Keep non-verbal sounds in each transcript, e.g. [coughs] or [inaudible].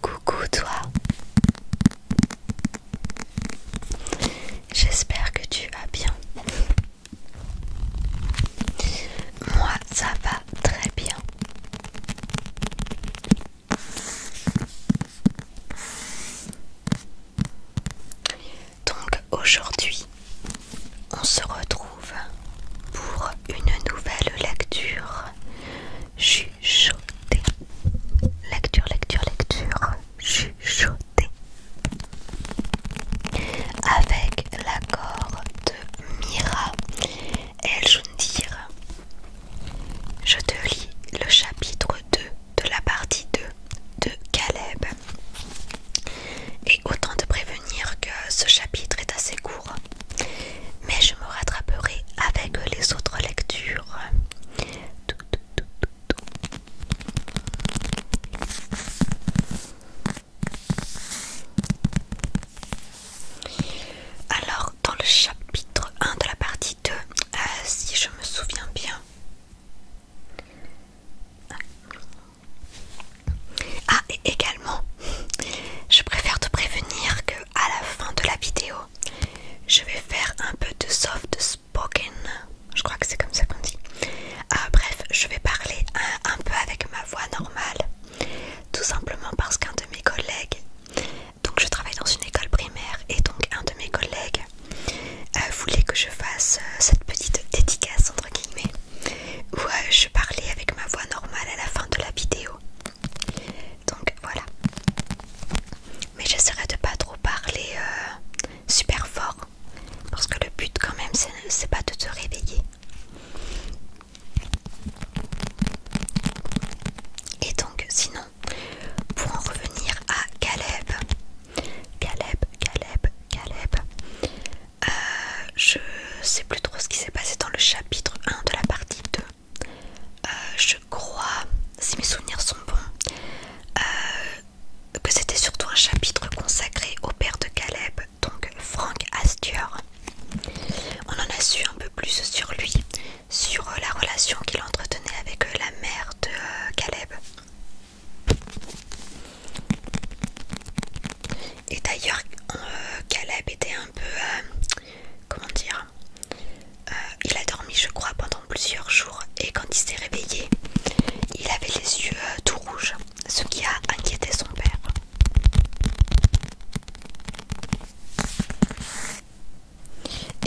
Coucou toi J'espère que tu vas bien. Moi ça va très bien. Donc aujourd'hui, on se retrouve pour une nouvelle lecture chuchotée. Lecture, lecture, lecture chuchotée. Avec l'accord de Mira je dire Je te lis le chapitre 2 de la partie 2 de Caleb. Et autant te prévenir que ce chapitre est assez court mais je me rattraperai avec les autres lectures. Alors, dans le chapitre 1 de la partie 2, euh, si je me souviens bien. Ah, et également, je préfère te prévenir que à la fin de la vidéo, je vais faire un peu de soft spoken. Je crois que c'est comme ça qu'on dit. Ah, bref, je vais parler un, peu avec ma voix normale, tout simplement parce qu'un de mes collègues, donc je travaille dans une école primaire, et donc un de mes collègues euh, voulait que je fasse euh, cette petite dédicace entre guillemets, où euh, je parlais avec ma voix normale à la fin de la vidéo. Donc voilà. Mais j'essaierai de pas trop parler euh, super fort. Parce que le but quand même c'est pas de te réveiller. Et donc sinon, pour en revenir à Caleb, Caleb, Caleb, Caleb, euh, je sais plus trop ce qui s'est passé dans le chapitre 1 de la partie 2. Euh, je crois, si mes souvenirs sont bons, euh, que c'était surtout un chapitre consacré au père de Caleb, donc Frank Asture On en a su un peu plus sur lui, sur la relation qu'il entretenait avec la mère de euh, Caleb. Et d'ailleurs, Caleb était un peu comment dire, euh, il a dormi je crois pendant plusieurs jours et quand il s'est réveillé, il avait les yeux euh, tout rouges, ce qui a inquiété son père.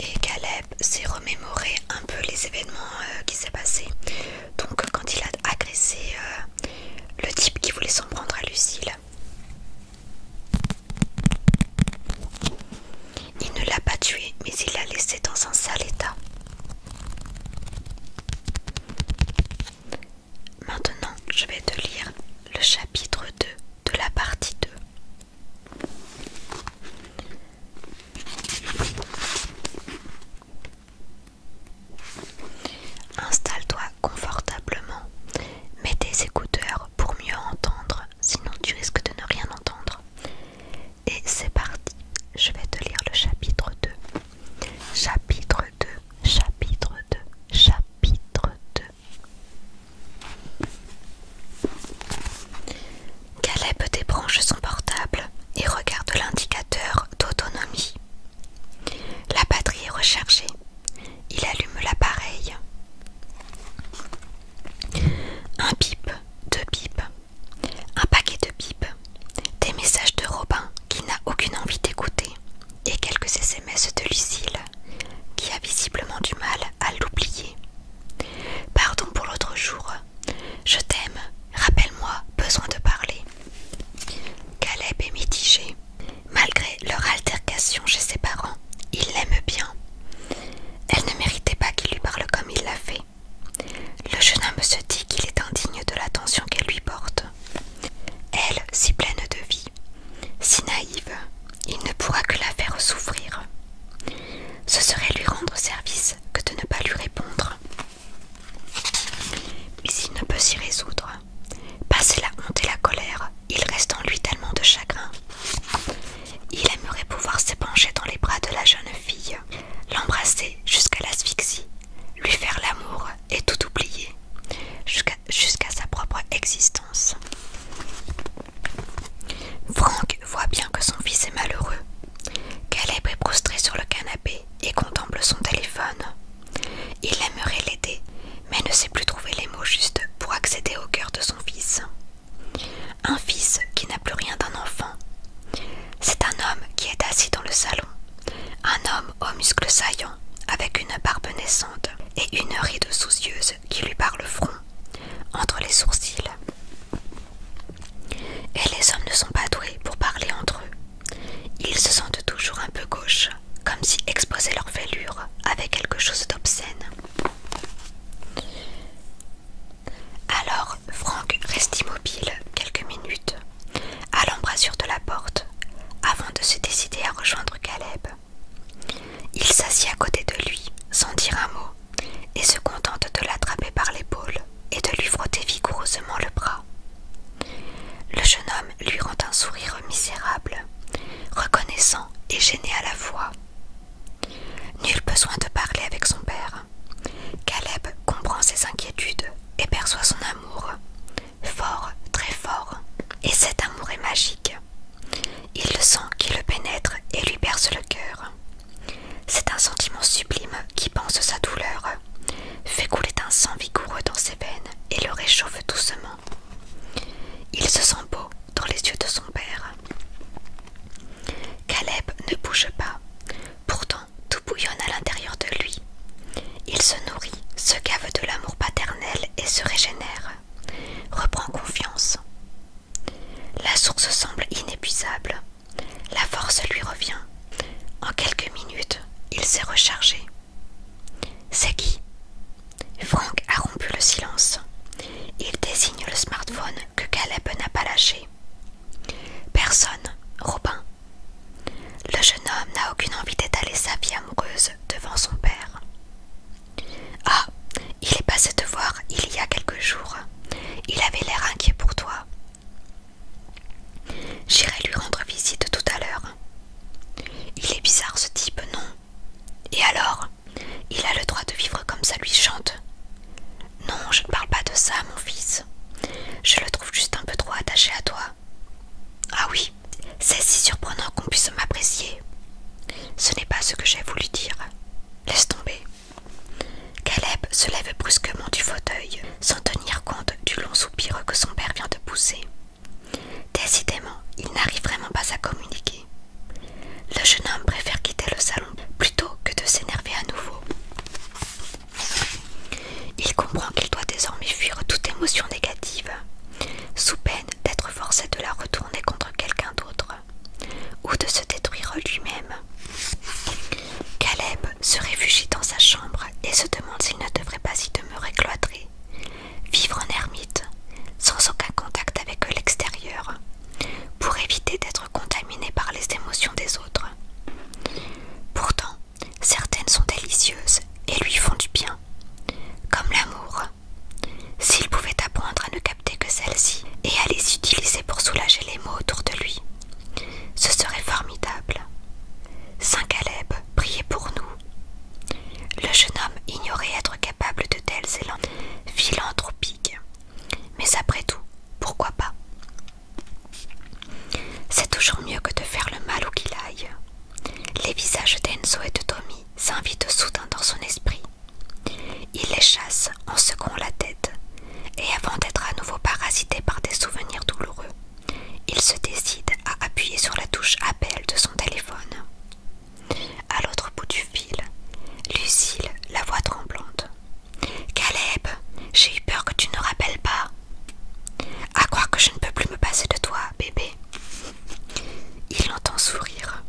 Et Caleb s'est remémoré un peu les événements euh, qui s'est passé. Donc quand il a agressé le type qui voulait s'en prendre à Lucille, il ne l'a pas tué mais il l'a laissé dans un sale état. Maintenant, je vais te lire le chapitre 2 de la partie 2. Installe-toi confortablement. Mets tes écouteurs pour mieux entendre, sinon tu risques de ne rien entendre. Et c'est parti, je vais te lire le chapitre 2. Chapitre 2, chapitre 2, chapitre 2. Caleb débranche son portable et regarde l'indicateur d'autonomie. La batterie est rechargée. Il allume l'appareil. Un bip, deux bips, un paquet de bips, des messages de Robin qui n'a aucune envie d'écouter, et quelques SMS de Lucille qui a visiblement du mal à l'oublier. Pardon pour l'autre jour. Je t'aime. Rappelle-moi, besoin de parler. Caleb est mitigé. Malgré leur altercation chez ses parents, il l'aime bien. Elle ne méritait pas qu'il lui parle comme il l'a fait. Le jeune homme se dit qu'il est indigne de l'attention qu'elle lui porte. Elle, si pleine de vie, si naïve, il ne pourra que la faire souffrir. Ce serait lui rendre service que de ne pas lui répondre. Mais il ne peut s'y résoudre. Passé la honte et la colère, il reste en lui tellement de chagrin. Il aimerait pouvoir s'épancher dans les bras de la jeune fille, l'embrasser jusqu'à l'asphyxie, lui faire l'amour et tout oublier, jusqu'à sa propre existence. Franck voit bien que son fils est malheureux. Caleb est prostré sur le canapé et contemple son téléphone. Il aimerait l'aider, mais ne sait plus trouver les mots justes pour accéder au cœur de son fils. Un fils qui n'a plus rien d'un enfant. C'est un homme qui est assis dans le salon, un homme aux muscles saillants, avec une barbe naissante et une ride soucieuse qui lui parle le front, entre les sourcils. Et les hommes ne sont pas doués pour parler entre eux. Ils se sentent toujours un peu gauches comme si exposer leur fêlure avait quelque chose d'obscène. Alors Frank reste immobile quelques minutes, à l'embrasure de la porte, avant de se décider à rejoindre Caleb. Il s'assit à côté de lui, sans dire un mot, et se contente de l'attraper par l'épaule et de lui frotter vigoureusement le bras. Le jeune homme lui rend un sourire misérable, reconnaissant et gêné à la fois. Nul besoin de parler avec son père. Caleb comprend ses inquiétudes et perçoit son amour. Fort, très fort. Et cet amour est magique. Il le sent qui le pénètre et lui perce le cœur. C'est un sentiment sublime qui pense sa douleur, fait couler un sang vigoureux dans ses veines et le réchauffe doucement. Il se sent beau dans les yeux de son père. Caleb ne bouge pas, pourtant tout bouillonne à l'intérieur de lui. Il se nourrit, se gave de l'amour paternel et se régénère, reprend confiance. La source semble inépuisable, la force lui revient. En quelques minutes, il s'est rechargé. C'est qui Frank a rompu le silence. Il désigne le smartphone que Caleb n'a pas lâché. Personne, Robin. Le jeune homme n'a aucune envie d'étaler sa vie amoureuse devant son père. Ah, il est passé te voir il y a quelques jours. Il avait l'air inquiet pour toi. J'irai lui rendre visite tout à l'heure. Il est bizarre ce type, non et alors Il a le droit de vivre comme ça lui chante. Non, je ne parle pas de ça, mon fils. Je le trouve juste un peu trop attaché à toi. Ah oui, c'est si surprenant qu'on puisse m'apprécier. Ce n'est pas ce que j'ai voulu dire. Laisse tomber. Caleb se lève brusquement du fauteuil, sans tenir compte du long soupir que son père vient de pousser. Décidément, il n'arrive vraiment pas à communiquer. Le jeune homme préfère quitter le salon plutôt que de s'énerver à nouveau. Il comprend qu'il doit désormais fuir toute émotion négative, sous peine d'être forcé de la retourner contre quelqu'un d'autre, ou de se détruire lui-même. Caleb se réfugie dans sa chambre et se demande s'il ne devrait pas y demeurer cloîtré, vivre en ermite, sans aucun contact avec l'extérieur, pour éviter d'être contaminé par les émotions des autres. Pourtant, certaines sont délicieuses et lui font du bien, comme l'amour. S'il pouvait apprendre à ne capter que celles-ci et à les utiliser pour soulager les maux autour de lui, ce serait formidable. Saint Caleb, priez pour nous, le jeune homme ignorait être capable de telles philanthropiques. Mais après tout, pourquoi pas C'est toujours mieux que de faire le mal où qu'il aille. Les visages d'Enzo et de Tommy s'invitent soudain dans son esprit. Il les chasse en secouant la tête, et avant d'être à nouveau parasité par des souvenirs douloureux, il se décide à appuyer sur la touche appel de son téléphone. À l'autre bout du fil, Lucille, la voix tremblante. Caleb, j'ai eu peur que tu ne rappelles pas. À croire que je ne peux plus me passer de toi, bébé. Il l'entend sourire.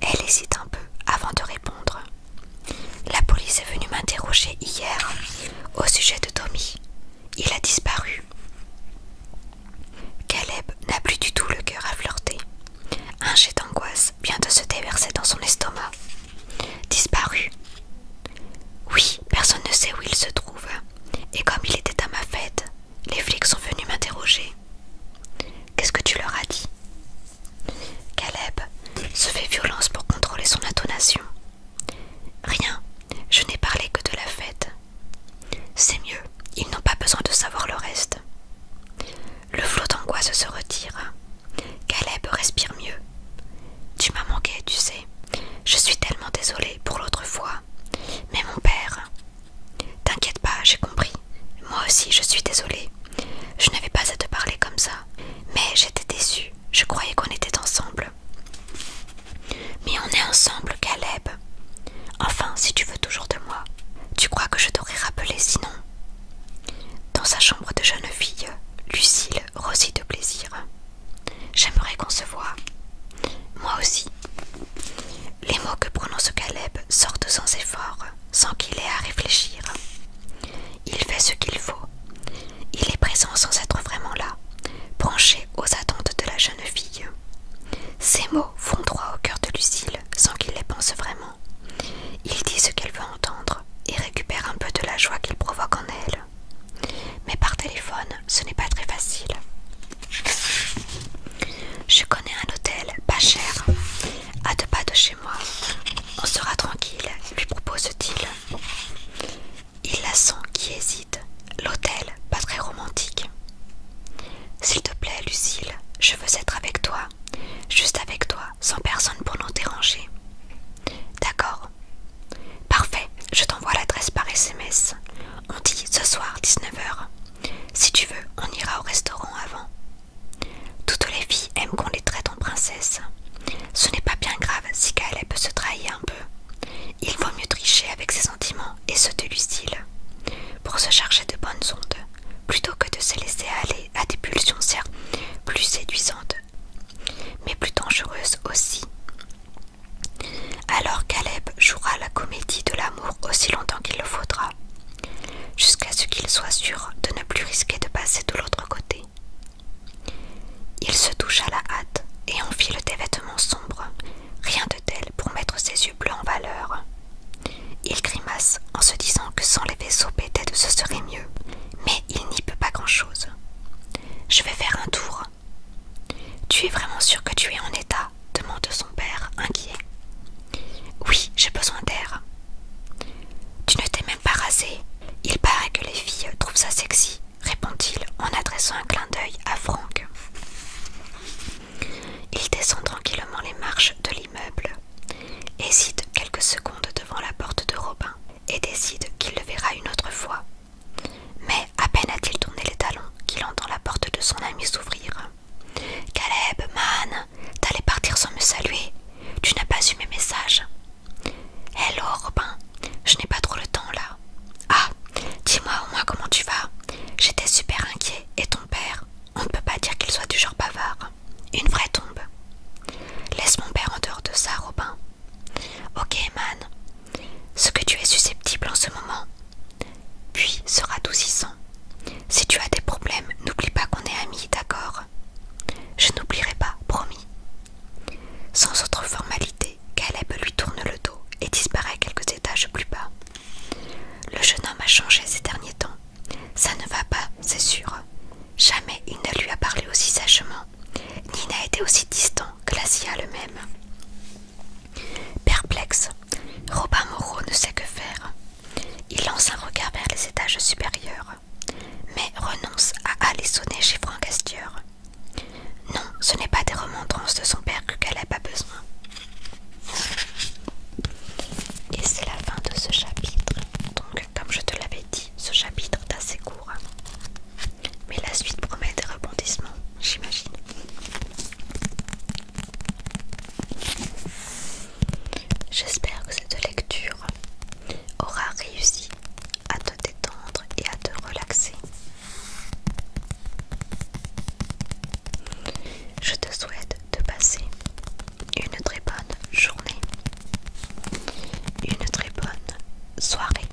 Elle hésite un peu avant de répondre. La police est venue m'interroger hier au sujet de Tommy. Il a disparu. Caleb n'a plus du tout le cœur à flirter. Un jet d'angoisse vient de se déverser dans son estomac. Disparu. Oui, personne ne sait où il se trouve. Et comme il était à ma fête, les flics sont venus m'interroger. Qu'est-ce que tu leur as dit Caleb se fait violence pour contrôler son intonation. Rien, je n'ai parlé que de la fête. C'est mieux, ils n'ont pas besoin de savoir le reste. Le flot d'angoisse se retire. Caleb respire mieux. Tu m'as manqué, tu sais. Je suis tellement désolée pour l'autre fois. Mais mon père. T'inquiète pas, j'ai compris. Moi aussi, je suis désolée. Je n'avais pas à te parler comme ça. Mais j'étais déçue. Je croyais qu'on était ensemble. Mais on est ensemble, Caleb. Enfin, si tu veux toujours de moi, tu crois que je t'aurais rappelé sinon Dans sa chambre de jeune fille, Lucille rossit de plaisir. J'aimerais qu'on se voie. Moi aussi. Les mots que prononce Caleb sortent sans effort, sans qu'il ait à réfléchir. Il fait ce qu'il faut. Il est présent sans être vraiment là, branché aux attentes de la jeune fille. Ces mots font droit au cœur de Lucille sans qu'il les pense vraiment. Il dit ce qu'elle veut entendre et récupère un peu de la joie qu'il provoque en elle. Mais par téléphone, ce n'est pas très facile. Je connais un hôtel pas cher, à deux pas de chez moi. On sera tranquille, lui propose-t-il. Il la sent qui hésite. L'hôtel, pas très romantique. S'il te plaît, Lucille, je veux être avec toi, juste avec toi, sans personne pour nous déranger. D'accord. Parfait, je t'envoie l'adresse par SMS. On dit ce soir 19h. Si tu veux, on ira au restaurant avant. Toutes les filles aiment qu'on les traite en princesse. Ce n'est pas bien grave si peut se trahir un peu. Il vaut mieux tricher avec ses sentiments et se de pour se charger de bonnes ondes, plutôt que de se laisser aller à des pulsions plus séduisantes, mais plus dangereuses aussi. Alors Caleb jouera la comédie de l'amour aussi longtemps qu'il le faudra, jusqu'à ce qu'il soit sûr de ne plus risquer de passer de l'autre côté. Il se à la hâte et enfile des vêtements sombres, rien de pour mettre ses yeux bleus en valeur. Il grimace en se disant que sans les vaisseaux pétèdes ce serait mieux, mais il n'y peut pas grand-chose. Je vais faire un tour. Tu es vraiment sûr que tu es en état demande son père, inquiet. Oui, j'ai besoin d'air. Tu ne t'es même pas rasé. Il paraît que les filles trouvent ça sexy, répond-il en adressant un clin d'œil à Franck. Il descend tranquillement les marches de l'immeuble, hésite quelques secondes devant la porte de Robin et décide qu'il le verra une autre fois. Mais à peine a-t-il tourné les talons qu'il entend la porte de son ami s'ouvrir. Caleb, man, t'allais partir sans me saluer. Tu n'as pas eu mes messages. Hello, Robin, je n'ai pas trop le temps là. Ah, dis-moi au moins comment tu vas. J'étais super inquiet et ton père on ne peut pas dire qu'il soit du genre bavard. Une vraie tombe. Laisse mon père en dehors de ça, Robin. Ok, man. Ce que tu es susceptible en ce moment, puis sera doucissant. Si tu as des problèmes, n'oublie pas qu'on est amis, d'accord Je n'oublierai pas, promis. Sans autre formalité, Caleb lui tourne le dos et disparaît quelques étages plus bas. Le jeune homme a changé ces derniers temps. Ça ne va pas, c'est sûr. Jamais il ne lui a parlé aussi sagement, ni n'a été aussi distant, que le même. Perplexe, Robin Moreau ne sait que faire. Il lance un regard vers les étages supérieurs, mais renonce à aller sonner chez Franck Non, ce n'est pas des remontrances de son père que a pas besoin. Et c'est la fin de ce chapitre. Donc, comme je te l'avais dit, ce chapitre est assez court. Hein. Mais la suite promet des rebondissements, j'imagine. J'espère que cette lecture aura réussi à te détendre et à te relaxer. Je te souhaite de passer une très bonne journée, une très bonne soirée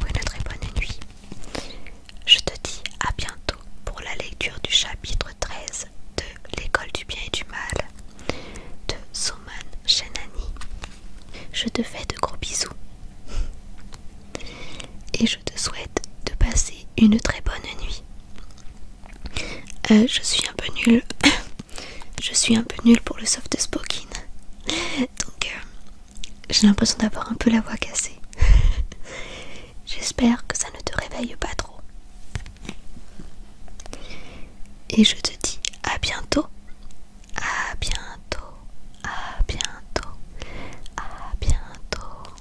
ou une très bonne nuit. Je te dis à bientôt pour la lecture du chapitre 13 de L'école du bien et du mal de Soman Shenani. Je te fais de gros bisous et je te souhaite de passer une très bonne nuit. Euh, je suis un peu nulle. [coughs] je suis un peu nulle pour le soft spoken. Donc euh, j'ai l'impression d'avoir un peu la voix cassée. [laughs] J'espère que ça ne te réveille pas trop. Et je te dis à bientôt. À bientôt. À bientôt. À bientôt.